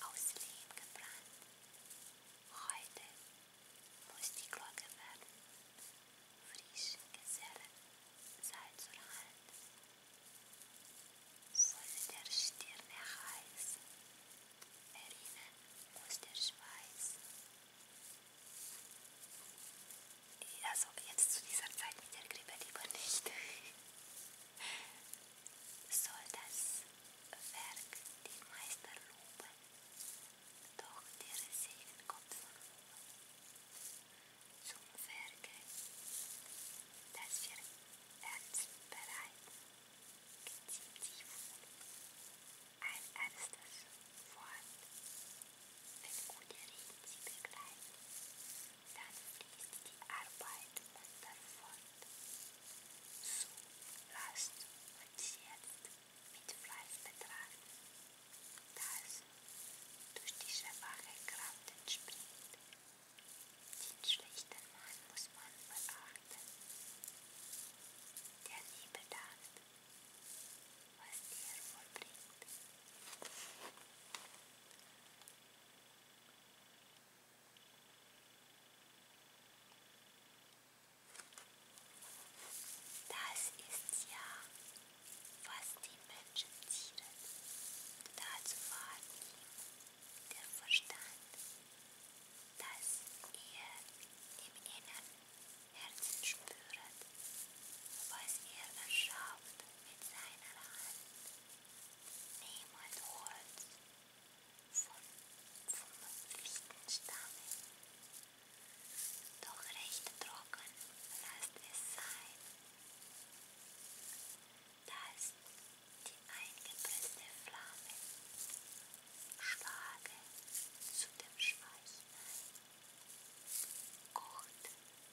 aus Lehm gebrannt. Heute muss die Glocke werden, frisch Gesellen sei zur Hand. Soll der Stirne heiß, erinnern muss der Schweiß. Also jetzt zu dieser Zeit mit der Grippe lieber nicht. soll das Werk den Meister loben, doch der Segen kommt von oben. Zum Werke, das wir Herz bereiten, geziemt sich wohl ein ernstes Wort, wenn gute Reden sie begleiten dann fließt die Arbeit munter fort. So, lasst uns jetzt mit Fleiß betrachten, das durch diese schwache Kraft entspringt. Den schlechten Mann muss man verachten, der nie bedacht, was er vollbringt. Das ist ja, was die Menschen zieren. Dazu war ihm der Verstand, dass er im Inneren Herzen spürt, was er erschafft mit seiner Hand. Niemand Holz vom, vom Fichtenstamm. Doch recht trocken lasst es sein. Dass die eingepresste Flamme schlage zu dem Schweich ein. Kocht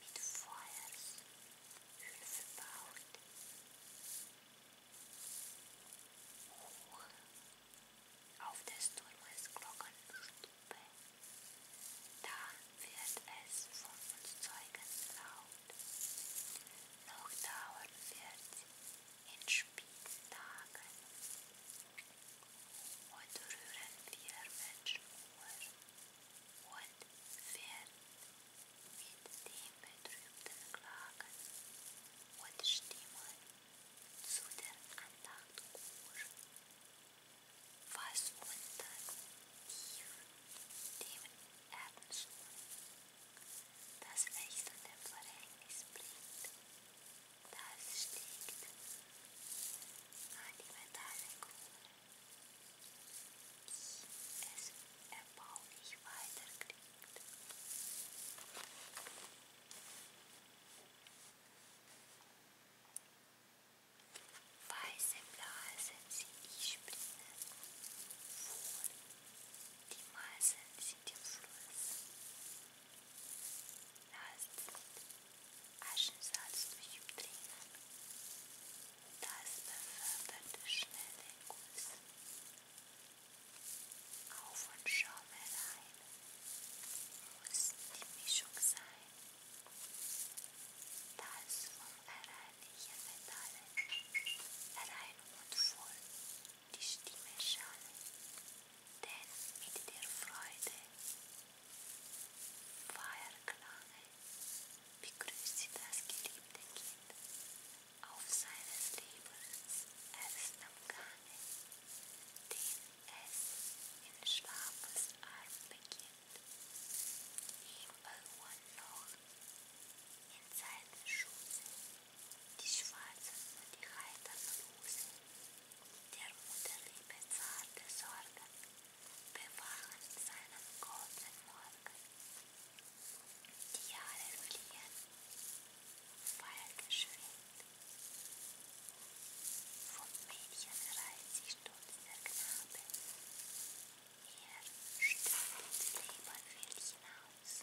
mit Feuershöhle verbaut. Hoch auf des Turmes Glockenstube, da wird es von uns Zeugen laut. Noch dauern wird in späten Tagen und rühren wir Menschen nur und fährt mit dem betrübten Klagen und Stimmen zu der Andacht Kur, was unter tief dem Ernst das wechselnde Verhängnis bringt, das stiegt an die Metalle Krone ich es erbaulich weiterkriegt. Weiße Blasen sehe ich springen, wohl die Meisen sind im Fluss. Lasst Aschensalz durch Umdrehen. Das befördert schnell den Guss. Auf und Schaumerein muss die Mischung sein. Das vom erreinlichen Metallen rein und voll die Stimme schalen denn mit der Freude Feierklange begrüßt das geliebte Kind auf seines Lebens ersten Gange, den es in Schlafes Arm beginnt, ihm beruhen noch in seinem Schuße die schwarzen und die heitern Rosen, der Mutterliebe zarte Sorgen bewachen seinen goldenen Morgen. Die Jahre fliehen, weit geschwind. Vom Mädchen reißt sich stolz der Knabe, er stößt ins Leben wild hinaus.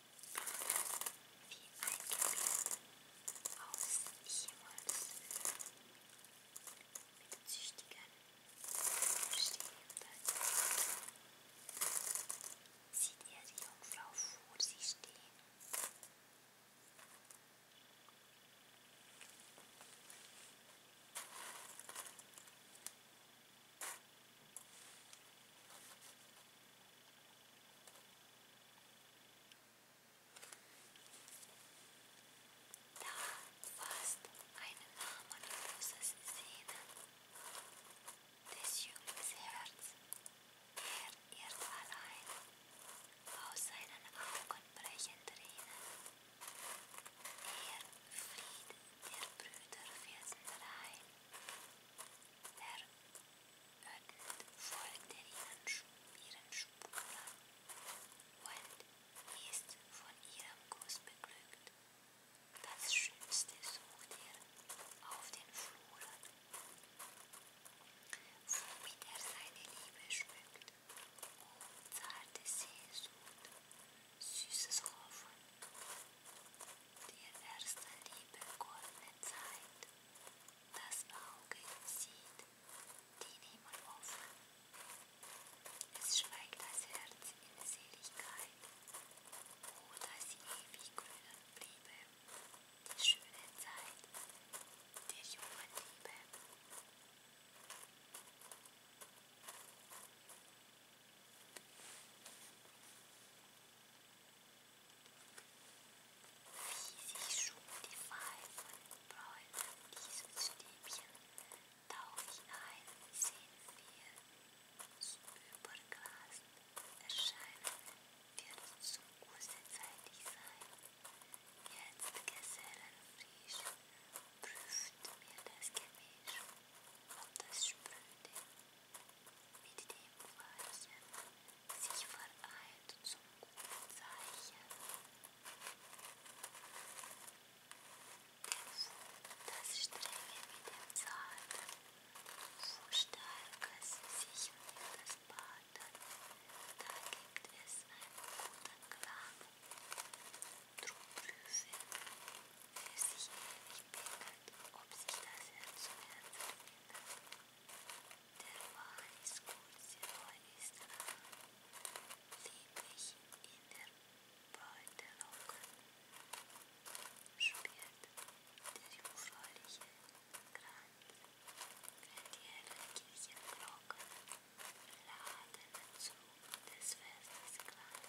wie ein Gebiet aus jemals mit züchtigen Stehenden. Sieht er die Jungfrau vor sich stehen? Da fast einen Namen großes des Jünglings Herz, der irrt allein, aus seinen Augen brechen Tränen. Er Fried der Brüder werden Der öffnet folgte ihren Spuren und ist von ihrem Kuss beglückt. Das Schönste sucht er auf den Fluren, womit er seine Liebe schmückt. O oh, zarte Sehnsucht, süßes Hoffen, der erste Liebe goldene Zeit. Das Auge sieht den Himmel offen. Es schweigt das Herz in Seligkeit. Oh, das ewig grünen Bliebe, die schöne Zeit der jungen Liebe. Diese Schuhmodify von Braun an diesem Stäbchen tauch hinein, sehen wir das erscheinen, wird zu kurzzeitig sein. Jetzt Gesellenfrisch prüft mir das Gemisch und das Spröde mit dem Weichen sich vereint zum guten Zeichen. Das Strenge mit dem Zarten, wo Starkes sich um das Baden, da gibt es einen guten Klang. Druckprüfe, für sich ähnlich bekannt, ob sich das Herz zu Herz erinnert. Der Wahn ist kurz, der Heu ist lang, lieblich in der Beute locken, spürt der jungfräuliche Kranz, wenn die hellen Kirchenglocken laden zu des Festes Glanz,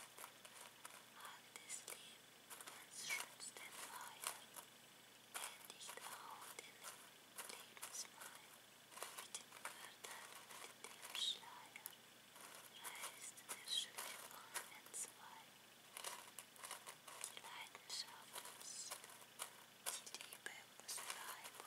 Hag des Lebens schützt den Feuer, der nicht auf den Lebenswein mit dem Körder, mit dem Schleier, reißt der schöne Baum entzwei. Die Leidenschaft ist, die Liebe muss bleiben.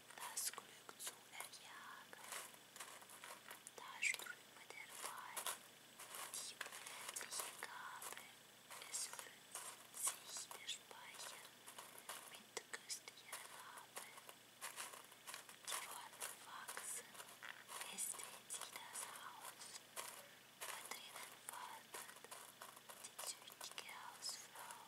das Glück zu erjagen. Da ströme der Wein, die unendliche Gabe, es füllt sich der Speicher mit köstlicher Rabe. Die Worte wachsen, es dreht sich das Haus, von drinnen wartet die züchtige Hausfrau,